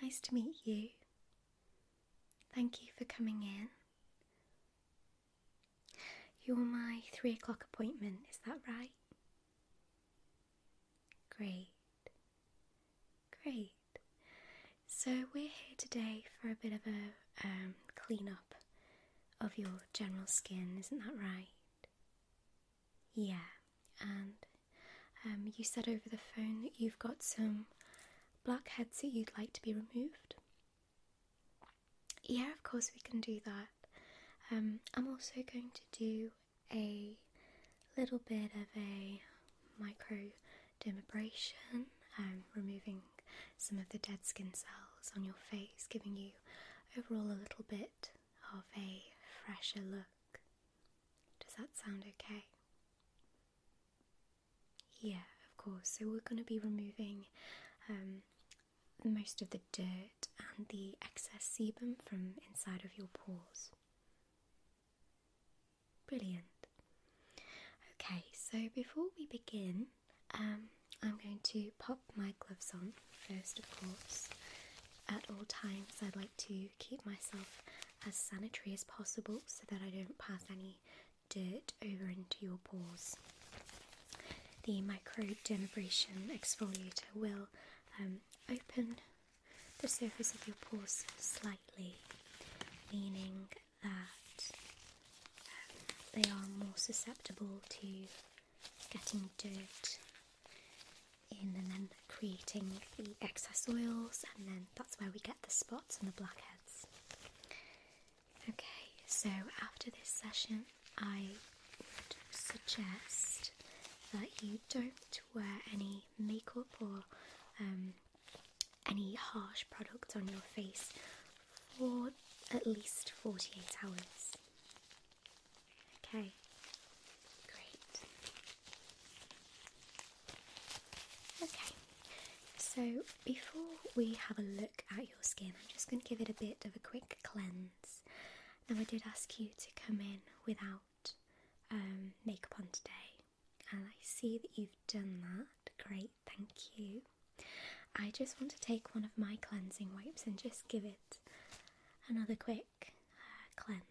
Nice to meet you. Thank you for coming in. You're my three o'clock appointment, is that right? Great. Great. So, we're here today for a bit of a um, clean up of your general skin, isn't that right? Yeah, and um, you said over the phone that you've got some blackheads that you'd like to be removed. Yeah, of course, we can do that. Um, I'm also going to do a little bit of a microdermabrasion, um, removing some of the dead skin cells on your face, giving you overall a little bit of a fresher look. Does that sound okay? Yeah, of course. So we're going to be removing um, most of the dirt and the excess sebum from inside of your pores. Brilliant. Okay, so before we begin, um, I'm going to pop my gloves on first, of course. At all times, I would like to keep myself as sanitary as possible so that I don't pass any dirt over into your pores. The microdermabrasion exfoliator will um, open the surface of your pores slightly, meaning that um, they are more susceptible to getting dirt in and then creating the excess oils, and then that's where we get the spots and the blackheads. Okay, so after this session, I would suggest that you don't wear any makeup or um, any harsh products on your face for at least 48 hours. Okay, great. Okay, so before we have a look at your skin, I'm just going to give it a bit of a quick cleanse. Now, I did ask you to come in without um, makeup on today, and I see that you've done that. Great, thank you. I just want to take one of my cleansing wipes and just give it another quick uh, cleanse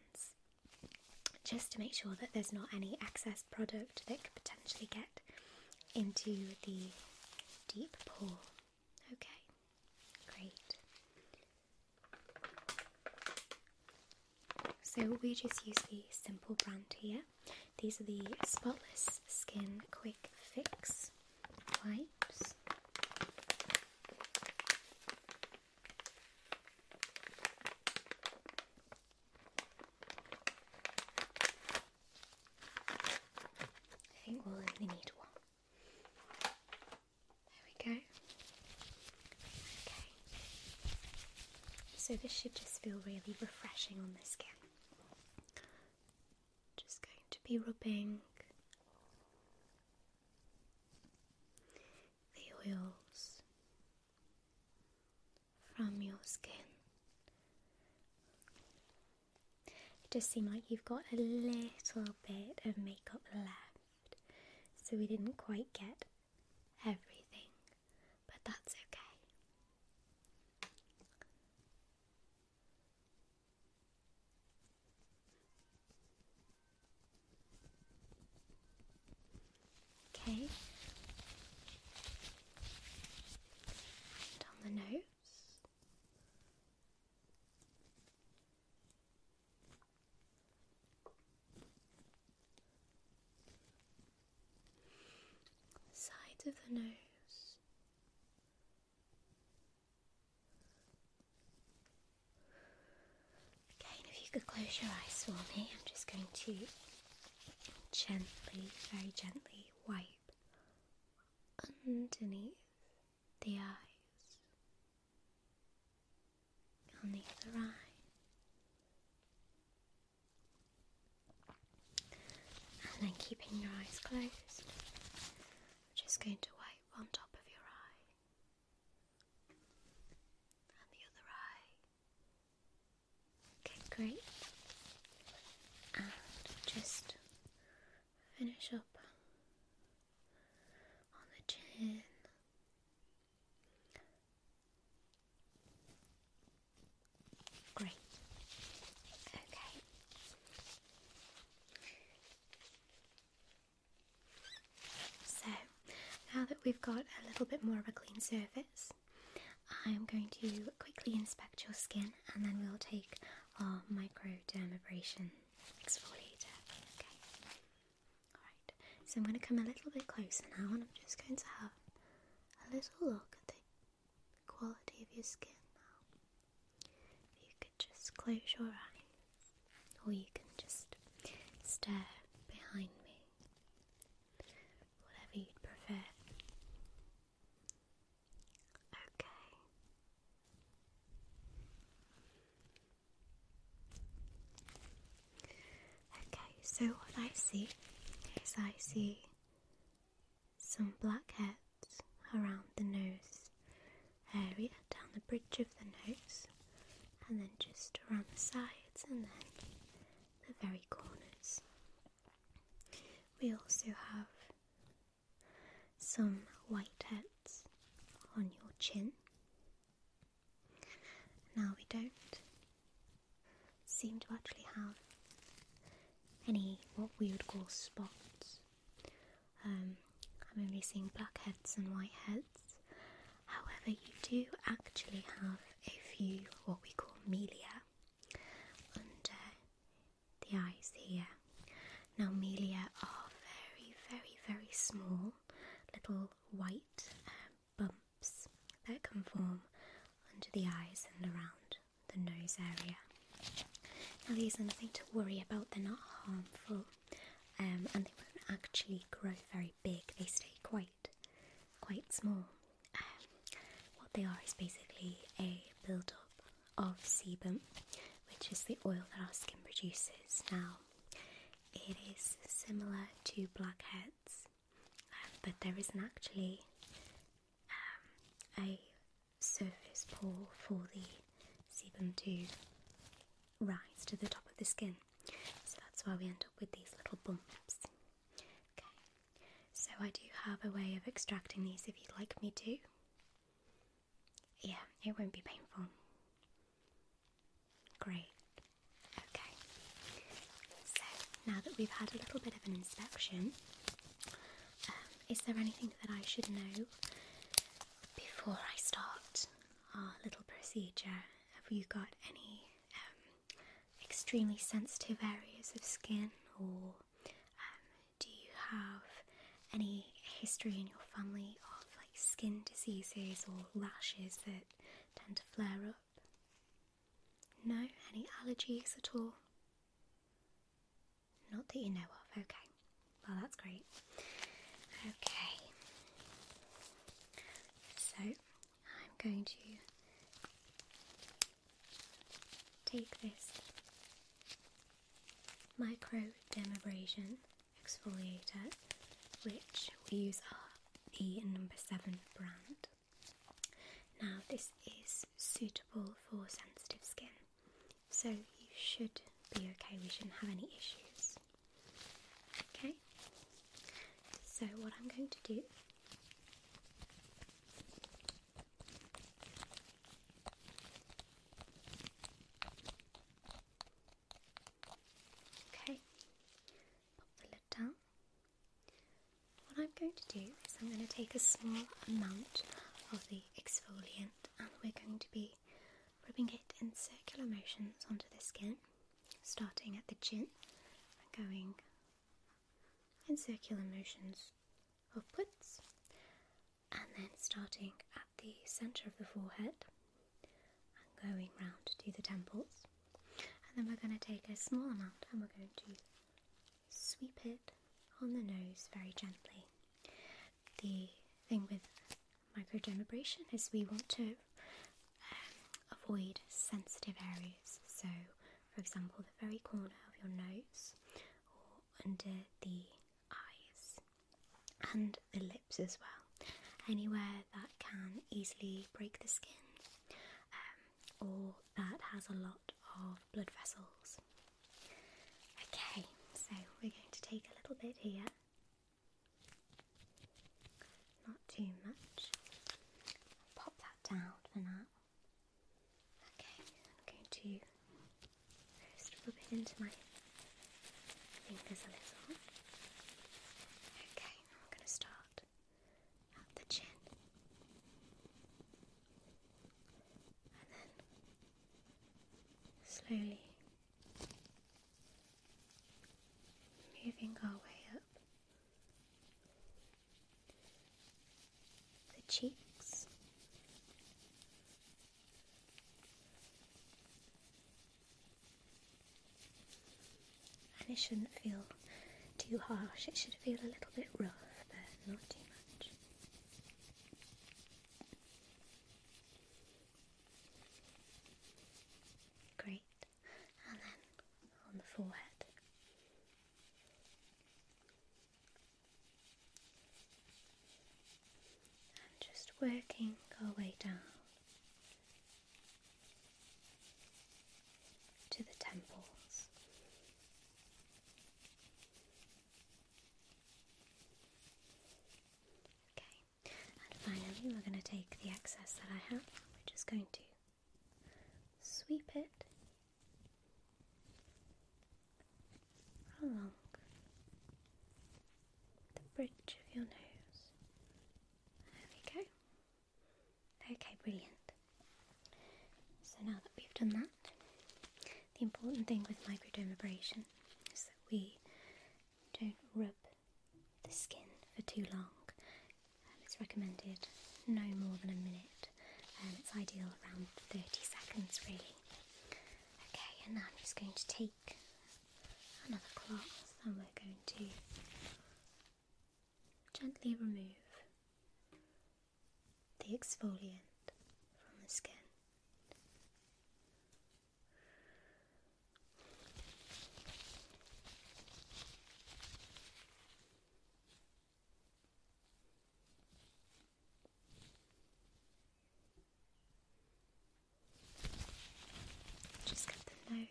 just to make sure that there's not any excess product that could potentially get into the deep pore. Okay, great. So we just use the Simple brand here. These are the Spotless Skin Quick Fix wipes. I think we'll only need one. There we go. Okay. So this should just feel really refreshing on the skin. Just going to be rubbing the oils from your skin. It does seem like you've got a little bit of makeup left, so we didn't quite get everything, but that's okay. Okay. Down the nose. The of the nose. Okay, and if you could close your eyes for me, I'm just going to gently, very gently wipe underneath the eyes, on the eye, and then keeping your eyes closed, I'm just going to wipe on top of your eye and the other eye. Okay, great. And just finish up on the chin. Great. Okay. So now that we've got a little bit more of a clean surface, I'm going to quickly inspect your skin and then we'll take our microdermabrasion exfoliator. Okay. Alright, so I'm going to come a little bit closer now and I'm just going to have a little look at the quality of your skin now. you could just close your eyes or you can just stare behind me whatever you'd prefer. Okay. Okay, so what I see is I see some blackheads around the nose area, down the bridge of the nose, and then just around the sides, and then the very corners. We also have some white heads on your chin. Now we don't seem to actually have any what we would call spots. Um, I'm only seeing black heads and white heads. However, you do actually have a few what we call milia under the eyes here. Now, milia are very, very, very small little white um, bumps that can form under the eyes and around the nose area. Now, these are nothing to worry about, they're not harmful um, and they won't actually grow very big, they stay quite quite small. Um, what they are is basically a build-up of sebum, which is the oil that our skin produces. Now, it is similar to blackheads, um, but there isn't actually um, a surface pore for the sebum to rise to the top of the skin. So that's why we end up with these little bumps. Okay, so I do have a way of extracting these if you'd like me to. Yeah, it won't be painful. Great. Okay, so now that we've had a little bit of an inspection, um, is there anything that I should know before I start our little procedure? Have you got any um, extremely sensitive areas of skin, or um, do you have any history in your family of like skin diseases or rashes that tend to flare up? No, any allergies at all? Not that you know of, okay. Well, that's great. Okay. So, I'm going to take this micro dermabrasion exfoliator, which we use our the number seven brand. Now, this is suitable for sensitive skin, so you should be okay, we shouldn't have any issues. Okay, so what I'm going to do Okay, pop the lid down. What I'm going to do is I'm going to take a small amount of the exfoliant and we're going to be rubbing it in circular motions onto the skin starting at the chin and going in circular motions upwards, and then starting at the center of the forehead and going round to the temples. And then we're going to take a small amount and we're going to sweep it on the nose very gently. The thing with microdermabrasion is we want to avoid sensitive areas. So, for example, the very corner of your nose or under the eyes and the lips as well. Anywhere that can easily break the skin um, or that has a lot of blood vessels. Okay, so we're going to take a little bit here. Not too much. pop that down for now. Okay, I'm going to just rub it into my fingers a little. Okay, I'm going to start at the chin. And then slowly moving our way up the cheeks, and it shouldn't feel too harsh, it should feel a little bit rough, but not too much. Great and then on the forehead. And just working our way down to the temples. Okay, and finally, we're going to take the excess that I have, we're just going to sweep it along the bridge of your nose. There we go. Okay, brilliant. So now that we've done that, the important thing with microdermabrasion is that we don't rub the skin for too long. Um, it's recommended no more than a minute. and um, it's ideal around 30 seconds really. Okay, and now I'm just going to take another cloth and we're going to gently remove the exfoliant from the skin. Just get the nose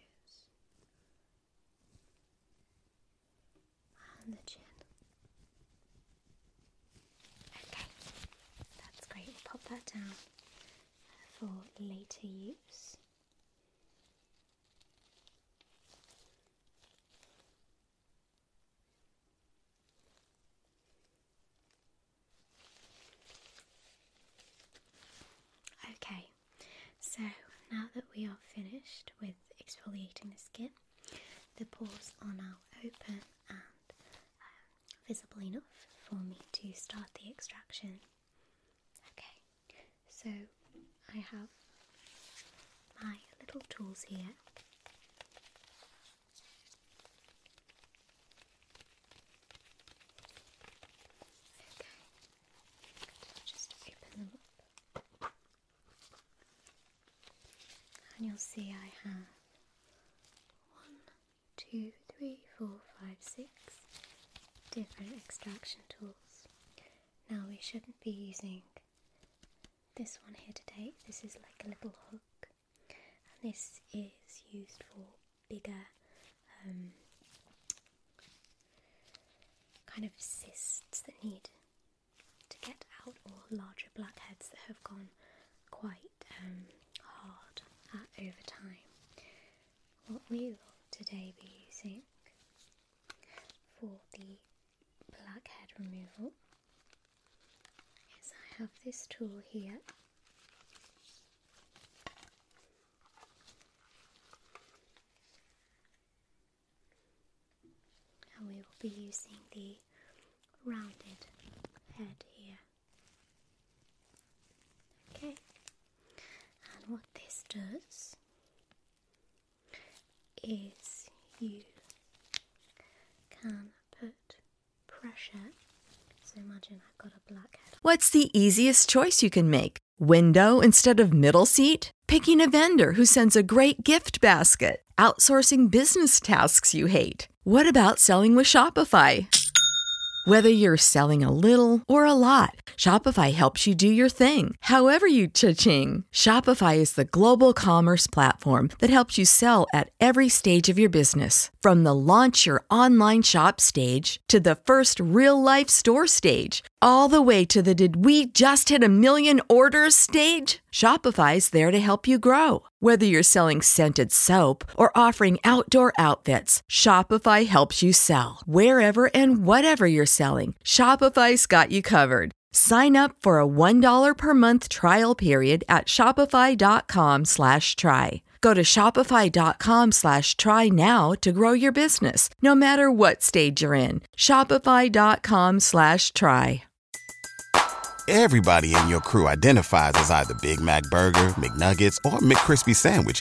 and the chin. Okay, that's great. We'll pop that down for later use. Okay, so now that we are finished with exfoliating the skin, the pores are now open and um, visible enough for me to start the extraction Okay, so I have my little tools here. Okay, just open them up, and you'll see I have one, two, three, four, five, six different extraction tools. Now we shouldn't be using this one here today. This is like a little hook and this is used for bigger um, kind of cysts that need to get out or larger blackheads that have gone quite um, hard at, over time. What we will today be using for the blackhead removal is I have this tool here and we will be using the rounded head here. Okay, what this does is you can put pressure. So imagine I've got a black What's the easiest choice you can make? Window instead of middle seat? Picking a vendor who sends a great gift basket? Outsourcing business tasks you hate? What about selling with Shopify? Whether you're selling a little or a lot, Shopify helps you do your thing However you cha-ching, Shopify is the global commerce platform that helps you sell at every stage of your business. From the launch your online shop stage to the first real-life store stage, all the way to the did we just hit a million orders stage? Shopify is there to help you grow. Whether you're selling scented soap or offering outdoor outfits, Shopify helps you sell. Wherever and whatever you're selling, Shopify's got you covered. Sign up for a $1 per month trial period at shopify.com slash try. Go to shopify.com slash try now to grow your business, no matter what stage you're in. Shopify.com slash try. Everybody in your crew identifies as either Big Mac Burger, McNuggets, or McKrispy Sandwich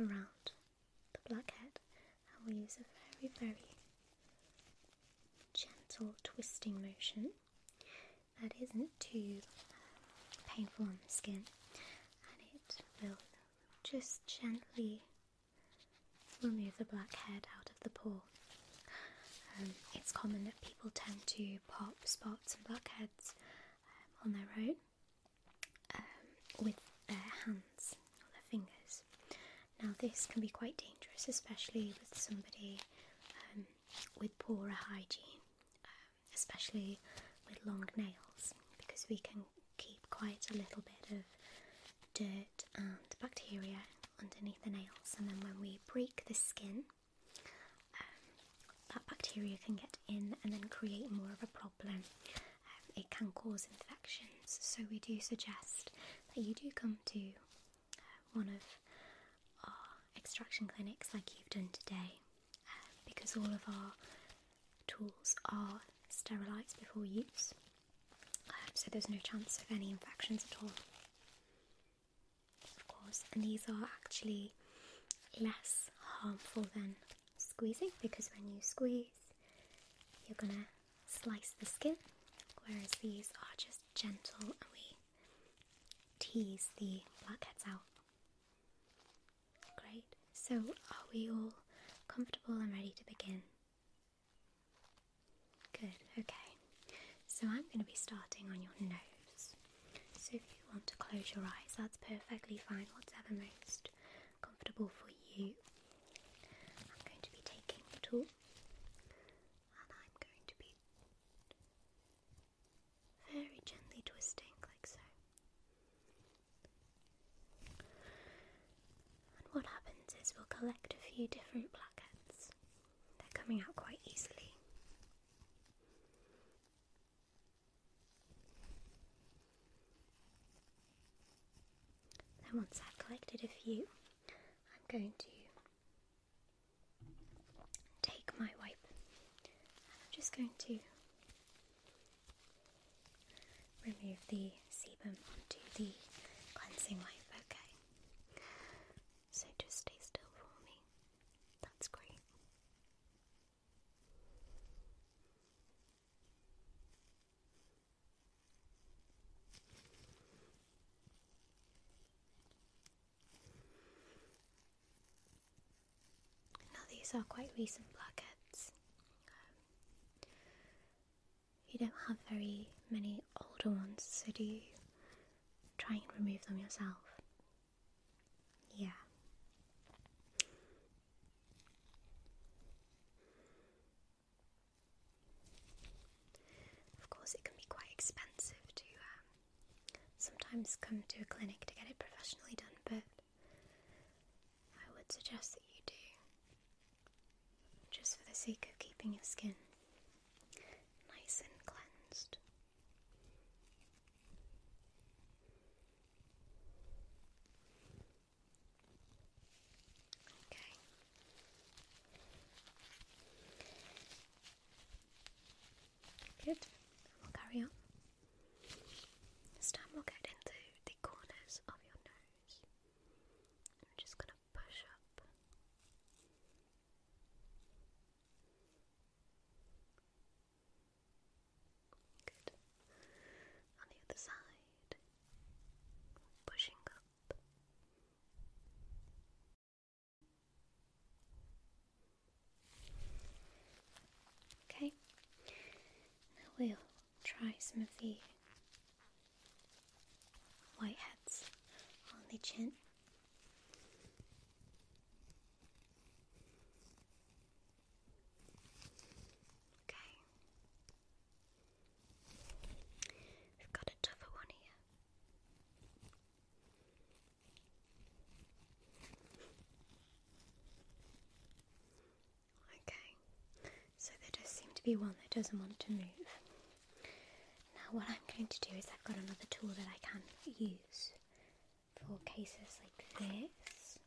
around the blackhead and we'll use a very, very gentle twisting motion that isn't too uh, painful on the skin and it will just gently remove the blackhead out of the pore. Um, it's common that people tend to pop spots and blackheads um, on their own um, with their hands or their fingers. Now, this can be quite dangerous, especially with somebody um, with poorer hygiene, um, especially with long nails, because we can keep quite a little bit of dirt and bacteria underneath the nails, and then when we break the skin, that bacteria can get in and then create more of a problem. Um, it can cause infections, so we do suggest that you do come to uh, one of our extraction clinics like you've done today um, because all of our tools are sterilised before use, um, so there's no chance of any infections at all. Of course, and these are actually less harmful than squeezing because when you squeeze, you're gonna slice the skin, whereas these are just gentle and we tease the blackheads out. Great, so are we all comfortable and ready to begin? Good, okay. So I'm going to be starting on your nose. So if you want to close your eyes, that's perfectly fine, whatever most comfortable for you. I'm going to be taking the tool and I'm going to be very gently twisting like so. And what happens is we'll collect a few different plaquettes. They're coming out quite easily. Then once I've collected a few, I'm going to take my wipe and I'm just going to remove the sebum onto the cleansing wipe, okay? So just stay still for me. That's great. Now, these are quite recent blackheads. you don't have very many older ones, so do you try and remove them yourself? Yeah. Of course, it can be quite expensive to um, sometimes come to a clinic to get it professionally done, but I would suggest that you do just for the sake of keeping your skin nice and cleansed. Okay. Good. We'll carry on. This time we'll get into the corners of your nose. I'm just going to push up. Good. On the other side, pushing up. Okay, now we'll try some of the white hats on the chin. Okay. We've got a tougher one here. Okay, so there does seem to be one that doesn't want to move. Now, what I'm going to do is I've got another tool that I can use for cases like this.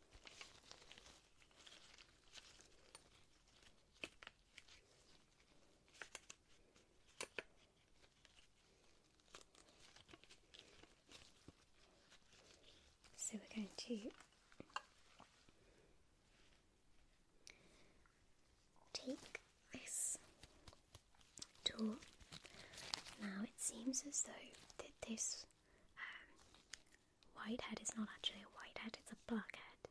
So we're going to take this tool. Now it seems as though that this um, white hat is not actually a white hat, it's a black hat.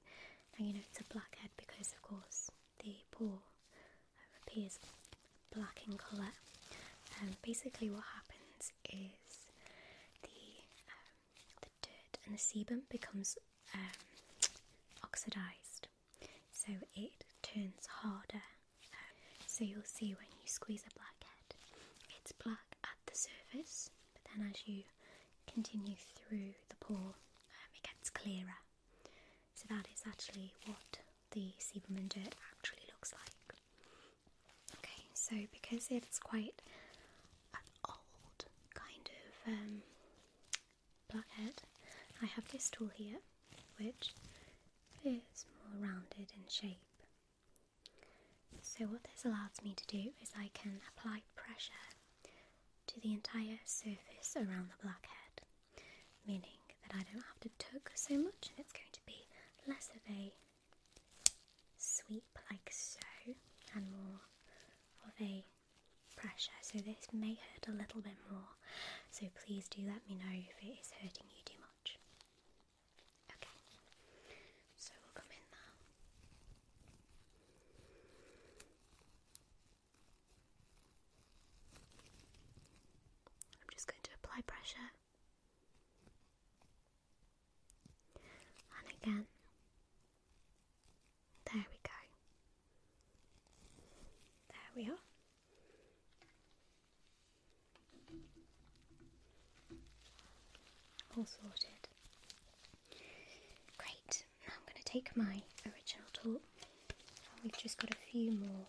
Now you know it's a black hat because of course the ball um, appears black in colour. And um, basically what happens is the, um, the dirt and the sebum becomes oxidised so it turns harder so you'll see when you squeeze a blackhead, it's black at the surface, but then as you continue through the pore, um, it gets clearer. So that is actually what the sebum Sieberman dirt actually looks like. Okay, so because it's quite old kind of um, blackhead, I have this tool here, which is more rounded in shape. So what this allows me to do is I can apply pressure to the entire surface around the blackhead, meaning that I don't have to tug so much and it's going to be less of a sweep like so and more of a pressure. So this may hurt a little bit more, so please do let me know if it is hurting you too much. Okay, so we'll come in now. I'm just going to apply pressure. And again. There we go. There we are. All sorted. Great, now I'm going to take my original tool and we've just got a few more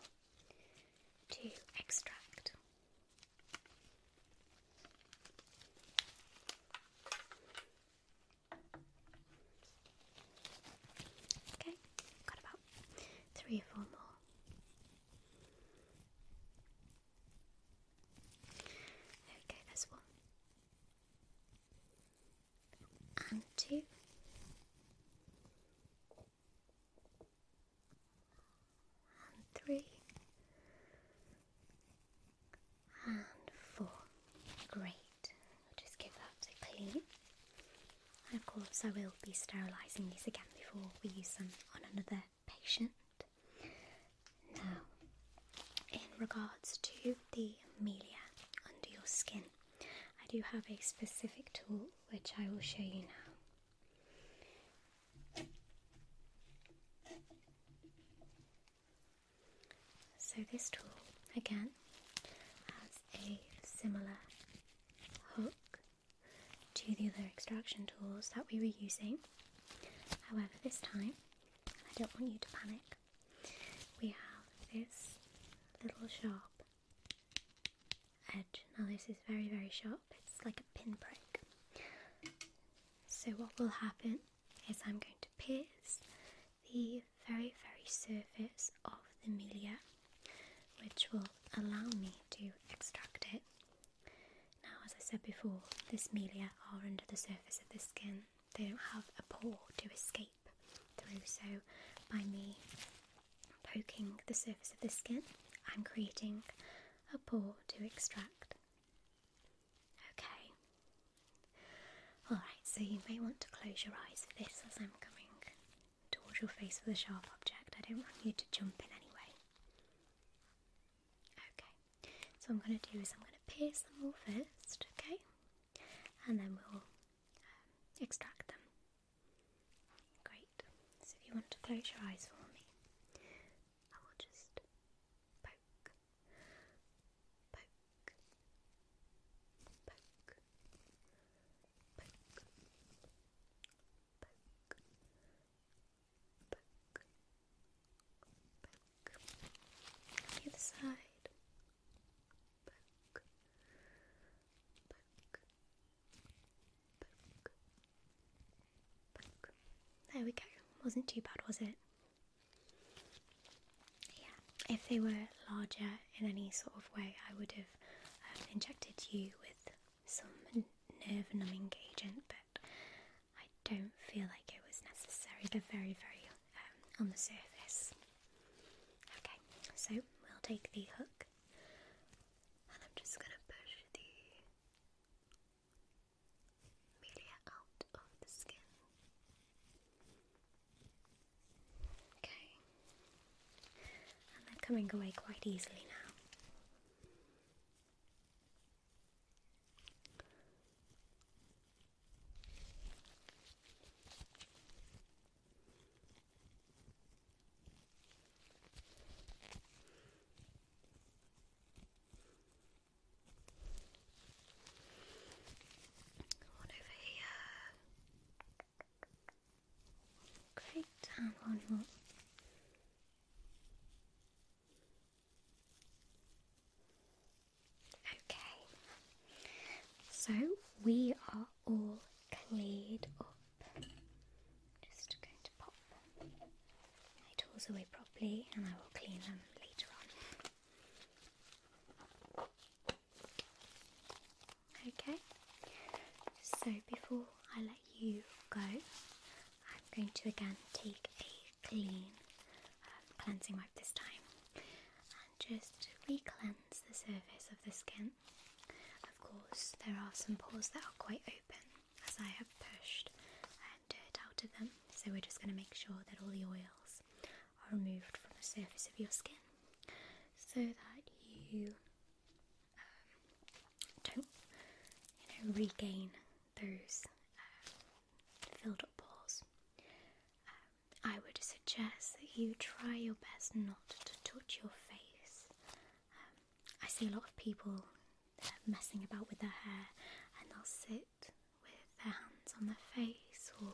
to extract. Okay, got about three or four more. There we one. And two. And three. And four. Great. I'll just give that a clean. of course I will be sterilising these again before we use them on another patient. Now, in regards to the melia under your skin, I do have a specific tool which I will show you now. So, this tool again has a similar hook to the other extraction tools that we were using. However, this time, I don't want you to panic, we have this little sharp edge. Now, this is very, very sharp, it's like a pinprick. So, what will happen is I'm going to pierce the very, very surface of the milia, which will allow me to extract it now, as I said before, the cimelia are under the surface of the skin. They don't have a pore to escape through, so by me poking the surface of the skin, I'm creating a pore to extract. Okay. Alright, so you may want to close your eyes for this as I'm coming towards your face with a sharp object. I don't want you to jump in anyway. Okay, so I'm going to do is I'm going to pierce them all first, okay, and then we'll um, extract them. Great. So if you want to close your eyes for me, I will just poke, poke, poke, poke, poke, back, side, There we go. Wasn't too bad, was it? Yeah. If they were larger in any sort of way, I would have um, injected you with some nerve numbing agent, but I don't feel like it was necessary. they very, very um, on the surface. Okay, so we'll take the hook and I'm just going to push the media out of the skin. Okay, and they're coming away quite easily now. One over here. Great, and one more. Okay, so we are all cleared up. Just going to pop my tools away properly and I will clean them later on. Okay, so before I you go, I'm going to again take a clean um, cleansing wipe this time and just re cleanse the surface of the skin. Of course, there are some pores that are quite open as I have pushed dirt out of them, so we're just going to make sure that all the oils are removed from the surface of your skin so that you um, don't regain those um, filled up pores. Um, I would suggest that you try your best not to touch your face. I see a lot of people uh, messing about with their hair, and they'll sit with their hands on their face or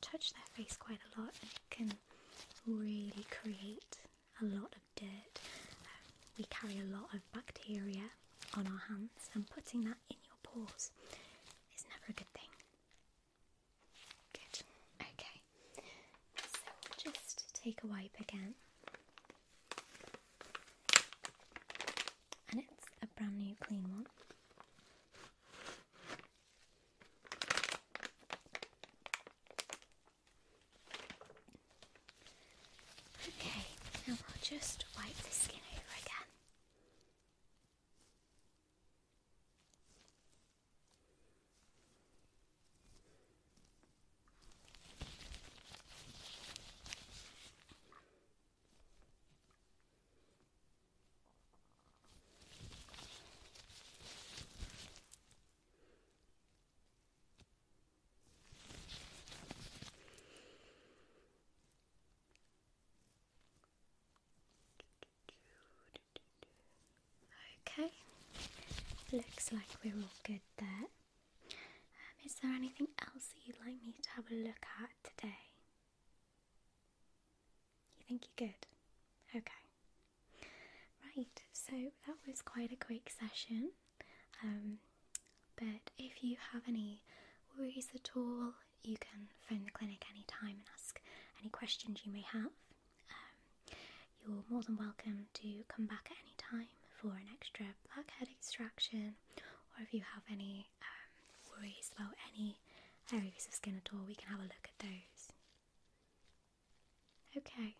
touch their face quite a lot, and it can really create a lot of dirt. we carry a lot of bacteria on our hands, and putting that in your pores is never a good thing. Good. Okay. So we'll just take a wipe again. And it's a brand new clean one. Okay, now I'll just wipe the skin over again. Okay, looks like we're all good there. Um, is there anything else that you'd like me to have a look at today? You think you're good? Okay. Right, so that was quite a quick session. Um, but if you have any worries at all, you can phone the clinic anytime and ask any questions you may have. Um, you're more than welcome to come back at any time for an extra blackhead extraction, or if you have any um, worries about any areas of skin at all, we can have a look at those. Okay.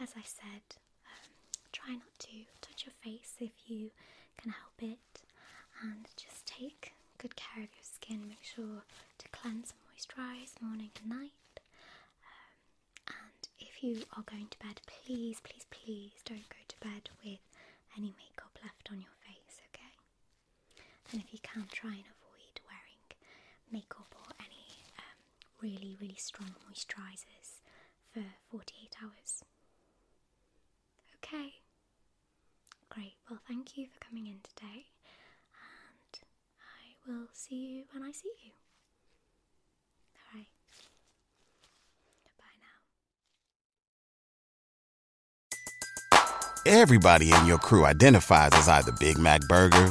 As I said, um, try not to touch your face if you can help it, and just take good care of your skin. Make sure to cleanse and moisturise morning and night. Um, and if you are going to bed, please, please, please don't go to bed with any makeup left on your face, okay? And if you can, try and avoid wearing makeup or any um, really, really strong moisturizers for 48 hours. Okay, great. Well, thank you for coming in today, and I will see you when I see you. All right, bye now. Everybody in your crew identifies as either Big Mac Burger,